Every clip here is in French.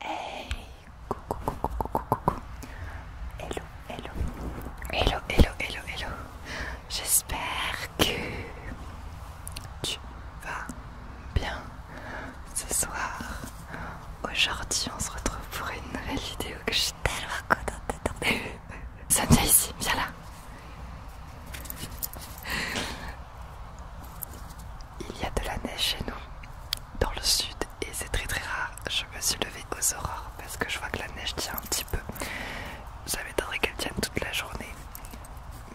Hey coucou, coucou, coucou, coucou Hello, hello Hello, hello, hello, hello J'espère que tu vas bien ce soir Aujourd'hui on se retrouve pour une nouvelle vidéo que je suis tellement contente Ça vient ici, bien là il y a de la neige chez nous, dans le sud, et c'est très très rare. Je me suis levée aux aurores parce que je vois que la neige tient un petit peu. Ça m'étonnerait qu'elle tienne toute la journée,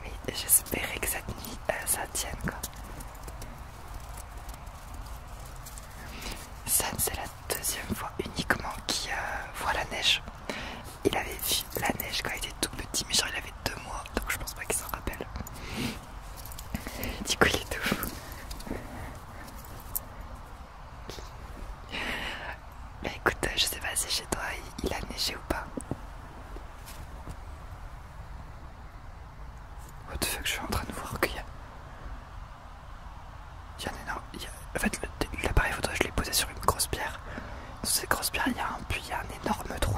mais j'espérais que cette nuit euh, ça tienne quoi. c'est la deuxième fois uniquement qu'il euh, voit la neige. Il avait vu la neige quand il était tout petit, mais genre il avait deux mois, donc je pense pas qu'il s'en rappelle. Du coup, il est tout fou. Bah, écoute, je sais pas si chez toi il a neigé ou pas. What the fuck, je suis en train de voir qu'il y a. Il y a un énorme. En fait, l'appareil photo, je l'ai posé sur une grosse pierre. Sur cette grosse pierre, il y a un puits, il y a un énorme trou.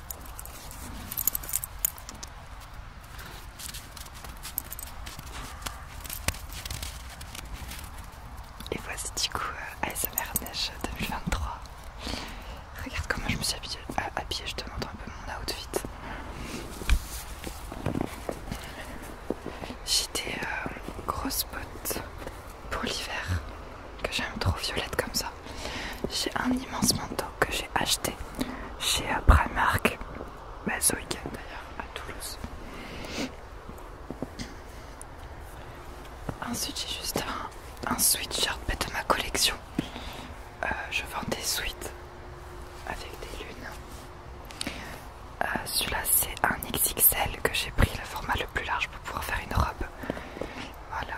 Et voici du coup euh, ASMR Neige 2023. Regarde comment je me suis euh, habillée, je te montre un peu mon outfit. J'ai des gros euh, grosses pour l'hiver que j'aime trop violette comme ça. J'ai un immense manteau que j'ai acheté chez euh, Primark, bah, ce week-end d'ailleurs, à Toulouse. Ensuite, j'ai juste un, un sweatshirt de ma collection. Euh, je vends des sweats avec des lunes. Euh, celui-là, c'est un XXL que j'ai pris, le format le plus large pour pouvoir faire une robe. Voilà,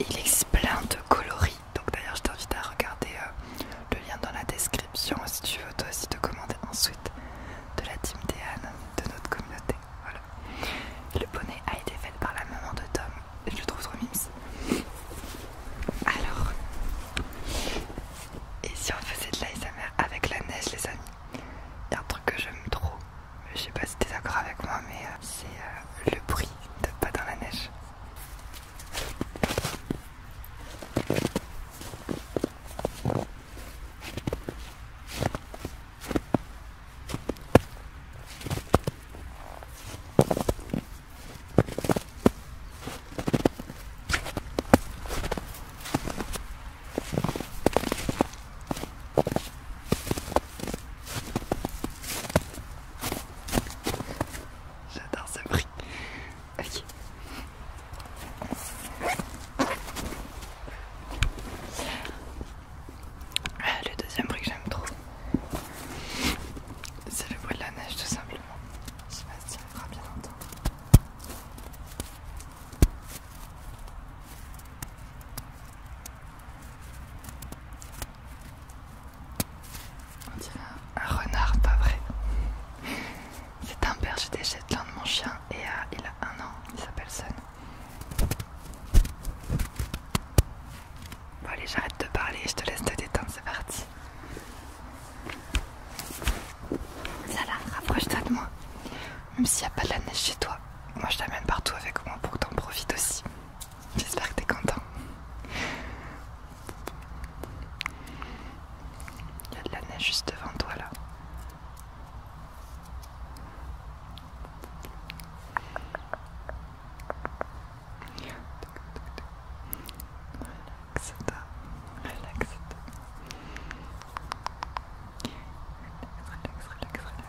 il existe plein de coloris. Donc d'ailleurs je t'invite à regarder euh, le lien dans la description si tu veux toi aussi te commander ensuite de la team Deanne de notre communauté. Voilà. Le bonnet a été fait par la maman de Tom je le trouve trop mimes. Alors, et si on faisait de mère avec la neige les amis Il y a un truc que j'aime trop je sais pas si es d'accord avec moi, mais euh, c'est euh, le bruit de pas dans la neige. J'adore ce bruit. Ok. Ah, le deuxième bruit que j'aime trop, c'est le bruit de la neige tout simplement. Je sais pas si bien entendre. On dirait un, renard, pas vrai. C'est un berger des de mon chien, et il a un an, il s'appelle Sun. Bon allez, j'arrête de parler, je te laisse te détendre, c'est parti. Salah, rapproche-toi de moi. Même s'il n'y a pas de la neige chez toi, moi je t'amène partout avec moi pour que t'en profites aussi. J'espère que t'es content. Il y a de la neige juste devant toi là. Relaxe-toi, relaxe relaxe, Relax, relax, relax.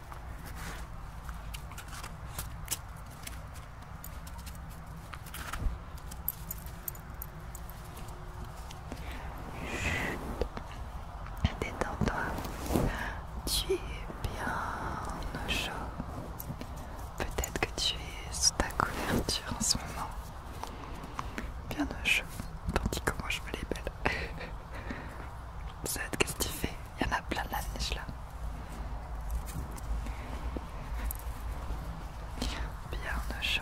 Chut. Détends-toi. Tu es bien au chaud. Peut-être que tu es sous ta couverture en ce moment. Bien au chaud. Tandis que moi je me les belle. Sad, qu'est-ce que tu fais il y en a plein de la neige là. Bien chaud.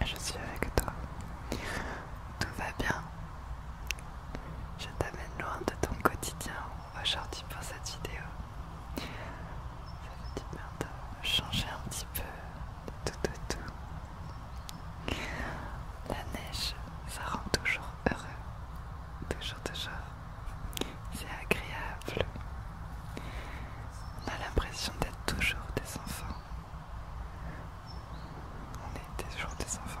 Je suis avec toi. Tout va bien. Je t'amène loin de ton quotidien aujourd'hui pour cette vidéo. Ça fait dire changer un petit peu de tout tout. tout. La neige, ça rend toujours heureux. Toujours, toujours c'est agréable. On a l'impression d'être toujours des enfants. On est toujours des enfants.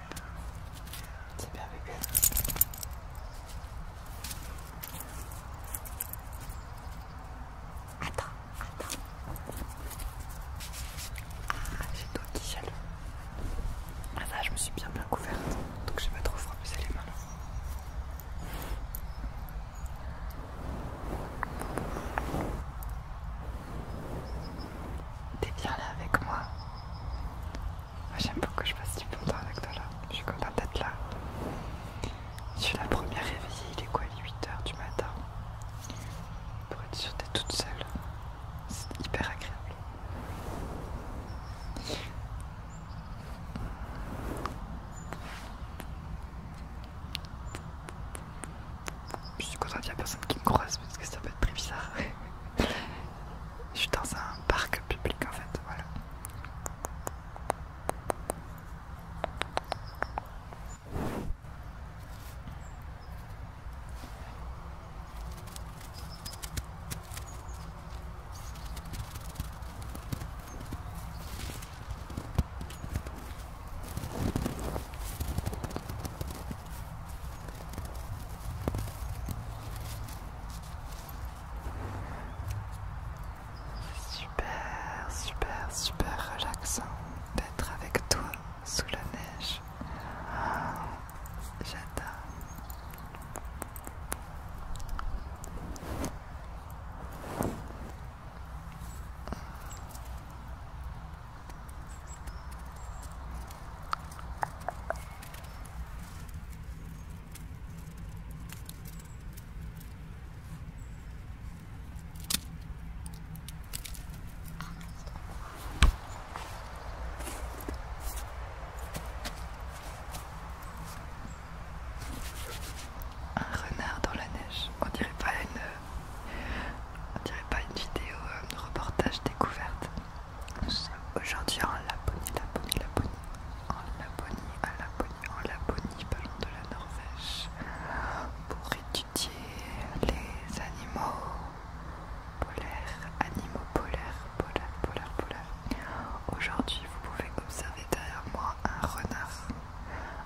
C'est bien avec elle. Attends, attends. Ah, j'ai toi qui gèle. Ah là, je me suis bien bien couverte, donc je vais pas trop frapper les mains. T'es bien là avec moi. Ah, j'aime beaucoup que je passe du bon temps avec toi là. Je suis contente d'être là. Je suis la première réveillée, il est quoi, il 8h du matin. Pour être sûre d'être toute seule. C'est hyper agréable. Je suis contente qu'il n'y a personne qui me croise parce que ça peut être très bizarre. Je suis dans un parc public en fait, voilà. Super, super, super relaxant d'être avec toi sous la neige. J'adore. Un renard dans la neige, on dirait pas une, euh, on dirait pas une vidéo, euh, de reportage découverte. Nous sommes aujourd'hui en Laponie, Laponie, Laponie, en Laponie, à Laponie, en Laponie, pas de la Norvège, pour étudier les animaux polaires, animaux polaires, polaires, polaires, polaires. Aujourd'hui, vous pouvez observer derrière moi un renard,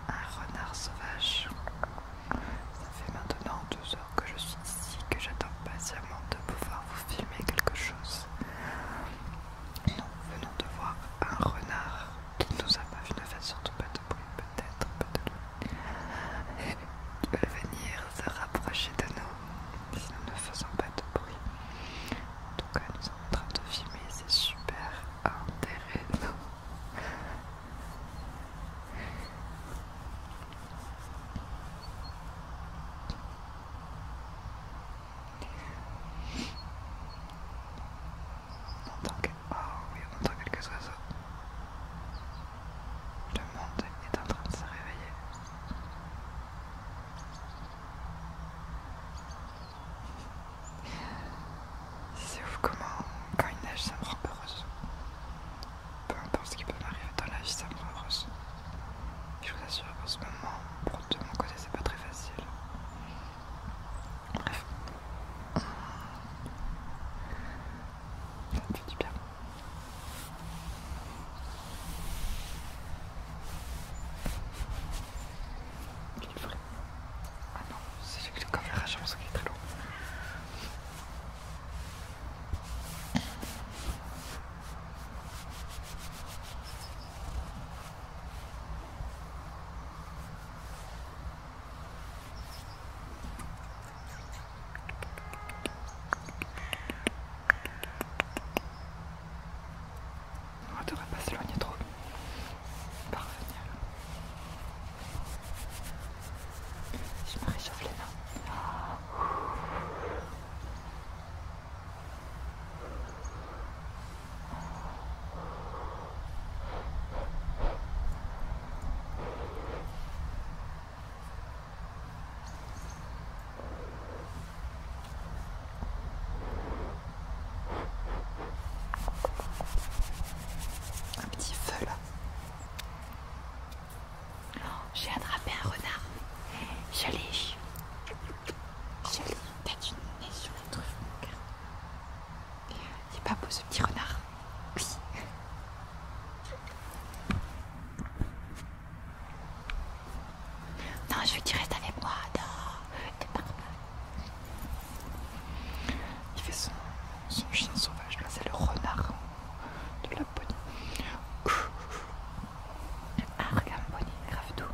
un renard sauvage. Ça fait maintenant deux heures que je suis ici, que j'attends patiemment de pouvoir vous filmer quelque chose. Nous venons de voir un renard qui nous a pas vu, ne fait surtout pas de bruit, peut-être, peut-être. venir se rapprocher de nous si nous ne faisons pas de bruit. En tout cas, nous sommes en train de filmer, c'est super intéressant. On entend Oh oui, on quelques oiseaux. Le monde est en train de se réveiller. C'est ouf comment, quand il neige, ça me rend heureuse. Peu importe ce qui peut m'arriver dans la vie, ça me rend heureuse. Je vous assure, en ce moment, pour de mon côté, c'est pas très facile. Bref. Ça fait du bien. Il est vrai. Ah non, c'est le coverage, je pense qu'il est très lourd. On ne devrait pas s'éloigner trop. Parfait. Je me réchauffe les mains. Ah. Un petit feu là. J'ai attrapé un renard. J'allais. J'allais. t'as Je l'ai sur les trucs, mon Il pas beau ce petit renard. Oui. Non, je veux qu'il reste avec moi. t'es Il fait son, son chien sauvage. Là, c'est le renard de la bonne. Argam ah, regarde, grave tout.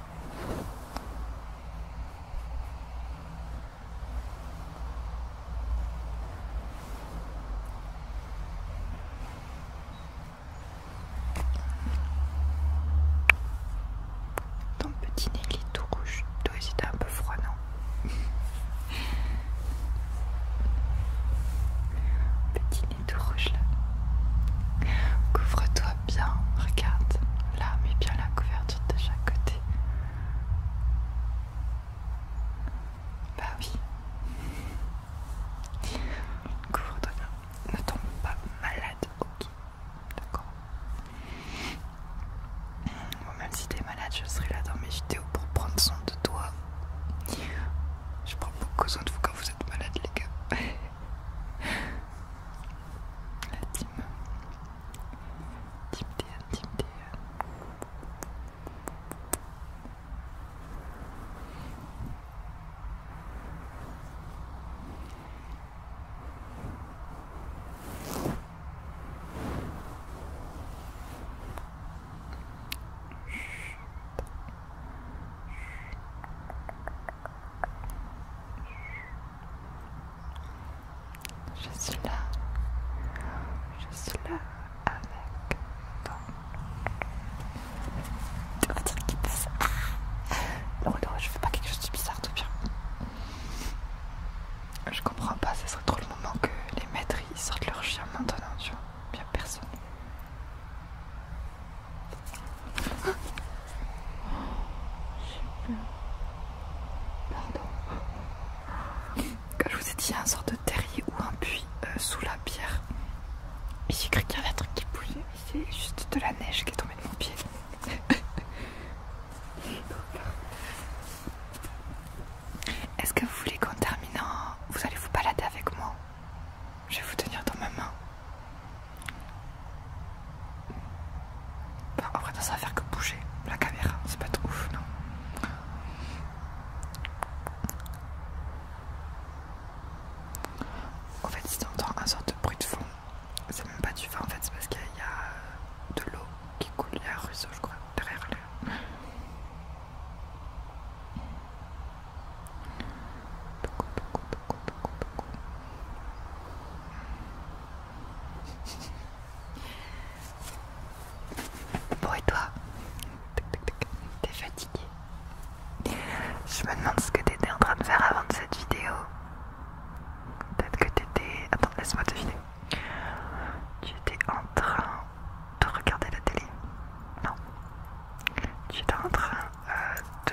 Ton petit nez, il est tout rouge. Toi aussi, t'es un peu froid, non Petit est tout rouge là. Couvre-toi bien, regarde. Là, mets bien la couverture de chaque côté. Bah oui. Couvre-toi bien. Ne tombe pas malade, ok. D'accord. Bon, même si t'es malade, je serai là dans mes vidéos pour prendre soin de toi. Je prends beaucoup soin de vous quand vous êtes malade, les gars. La team. Team DN, team DN. Je suis là. Je suis là avec toi. Tu qui Non, non, je fais pas quelque chose de bizarre, tout bien. Je comprends pas, ce serait trop le moment que les maîtres sortent leur chien maintenant, tu vois. Il personne. Pardon. Quand je vous ai dit, un sort de terrier ou un puits euh, sous la pierre. j'ai cru qu'il y avait un truc qui bougeait. C'est juste de la neige qui est tombée de mon pied. Est-ce que vous voulez qu'en terminant, vous allez vous balader avec moi je vais vous tenir dans ma main. En après, ça va faire que bouger la caméra. C'est pas trop ouf, non En fait, si t'entends un sorte de bruit de fond, c'est même pas du vent, en fait, c'est parce qu'il y a euh, de l'eau qui coule, il y a un ruisseau, je crois, derrière lui beaucoup, Bon et toi T'es fatigué Je me demande ce que t'étais en train de faire avant de cette vidéo. Peut-être que t'étais... Attends, laisse-moi te filer. Tu étais en train de regarder la télé. Non. Tu es en train euh,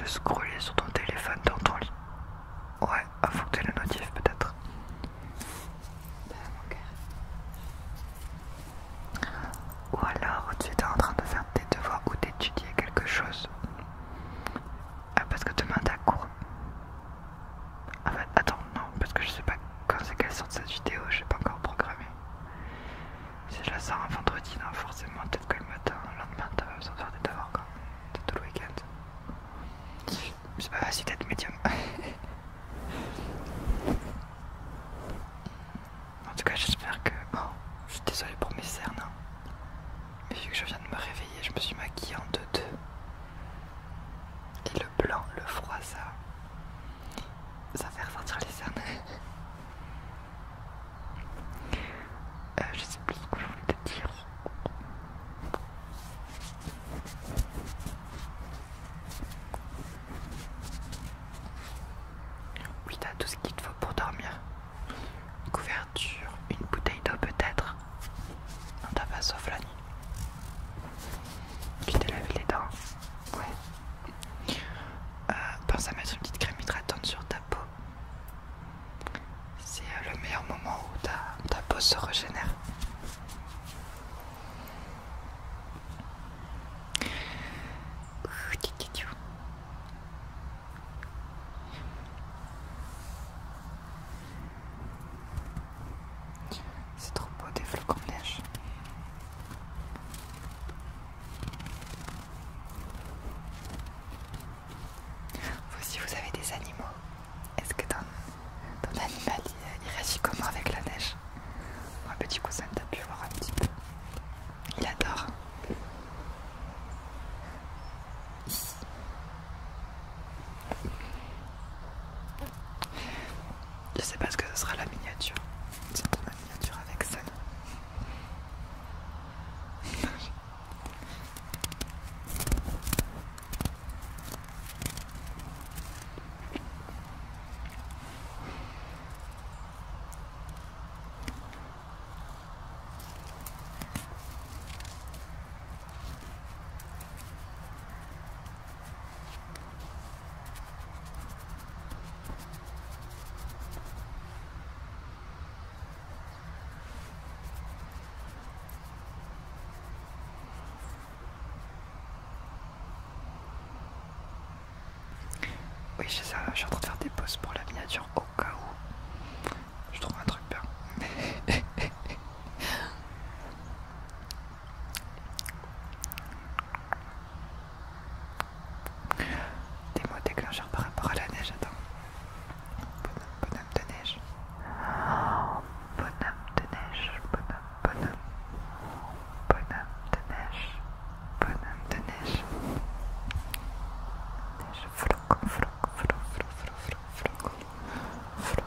de, scroller sur ton téléphone dans ton lit. Ouais, à que le notif peut-être. Ou alors tu es en train de faire tes devoirs ou d'étudier quelque chose. Euh, parce que demain t'as cours. Ah bah, attends, non, parce que je sais pas quand c'est sort de cette vidéo, je n'ai pas encore programmé. Si je la sors un vendredi, non, forcément, peut-être que le matin, le lendemain, t'as va de faire des devoirs, quoi. même tout le week-end. C'est pas facile d'être médium. en tout cas, j'espère que. Bon, oh, je suis désolé pour mes cernes. Hein. Mais vu que je viens de me réveiller, je me suis maquillée en deux-deux. Et le blanc, le froissard ça fait ressortir les cernes. Euh, je sais plus ce que je voulais te dire. Oui, t'as tout ce qu'il te faut pour dormir. Une couverture, une bouteille d'eau peut-être. Non, t'as pas sauf la nuit. Puis t'es lavé les dents Ouais. Euh, pense à mettre une petite crème hydratante sur ta peau. C'est euh, le meilleur moment où ta, ta peau se régénère. C'est trop beau des flocons de neige. Vous aussi vous avez des animaux. Est-ce que ton, ton animal il, réagit comment avec la neige Mon petit cousin t'a pu voir un petit peu. Il adore. Je sais pas ce que ce sera la miniature. C'est ma miniature avec ça. Oui, c'est ça, je suis en train de faire des pauses pour la miniature au cas où je trouve un truc bien. Des mots déclencheurs par rapport à la neige, attends. Bonhomme, bonhomme de neige. bonhomme de neige, bonhomme, bonhomme. Bonhomme de neige, bonhomme de neige. Neige, floc, floc, floc, floc, floc, floc,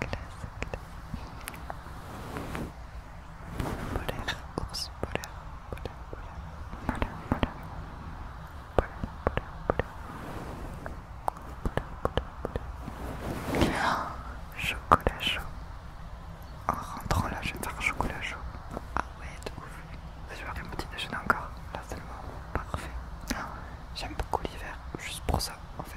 classe. Polaire, ours, polaire, polaire, polaire, polaire, polaire, polaire, polaire, polaire, polaire. Oh, chocolat chaud. En rentrant là, je vais faire chocolat chaud. Ah ouais, de ouf. Je vais faire un petit déjeuner encore. Là, c'est le moment parfait. J'aime beaucoup l'hiver, juste pour ça en fait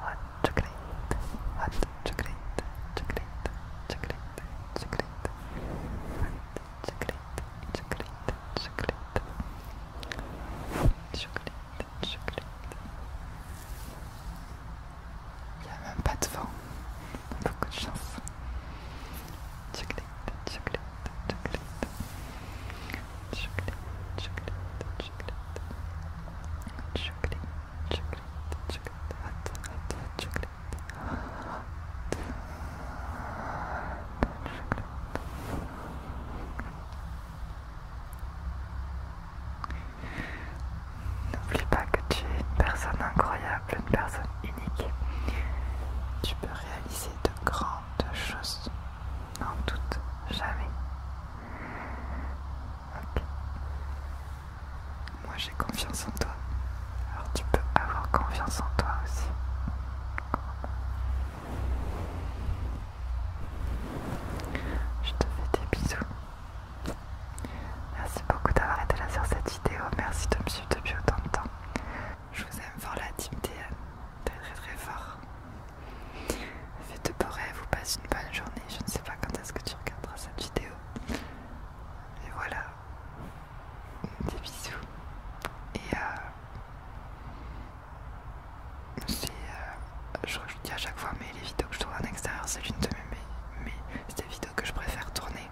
hot chocolate, hot chocolate, chocolate, chocolate, chocolate, hot chocolate, chocolate, chocolate, chocolate, chocolate. Il n'y a même pas de vent, beaucoup de chance. Chocolate, chocolate, chocolate, chocolate, chocolate, chocolate, chocolate. N'oublie pas que tu es une personne incroyable, une personne unique. Tu peux réaliser de grandes choses. N'en doute jamais. Moi j'ai confiance en toi. Alors tu peux avoir confiance en toi aussi. Je te fais des bisous. Merci beaucoup d'avoir été là sur cette vidéo. Merci de me suivre depuis autant de temps. Je vous aime fort la team Très très très fort. Faites de beaux vous passez une bonne journée. Je ne sais pas quand est-ce que tu regarderas cette vidéo. Et voilà. Des bisous. Et euh, euh je, je dis à chaque fois, mais les vidéos que je tourne en extérieur, c'est une de mes, c'est vidéos que je préfère tourner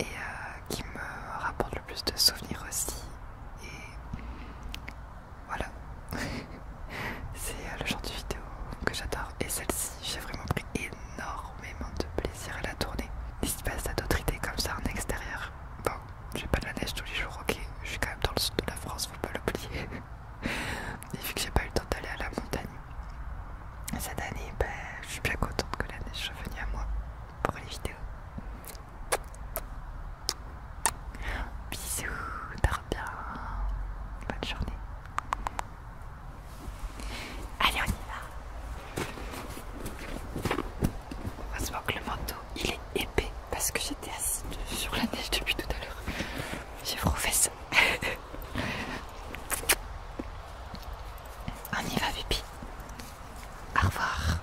et euh, qui me rapporte le plus de souvenirs aussi. Et voilà. c'est euh, le genre de vidéo que j'adore et celle-ci j'ai vraiment pris énormément de plaisir à la tourner. N'hésite pas à d'autres idées comme ça en extérieur. Bon, j'ai pas de la neige tous les jours, ok, je suis quand même dans le sud de la France, faut pas l'oublier. et vu que j'ai pas eu le temps d'aller à la montagne cette année, ben, je suis bien contente que la neige soit venue à moi pour les vidéos. Bisous, dors bien, bonne journée. Allez, on y va. Heureusement que le manteau il est épais parce que j'étais assise sur la neige depuis tout à l'heure. J'ai trop ça on y va, vipi. Au revoir.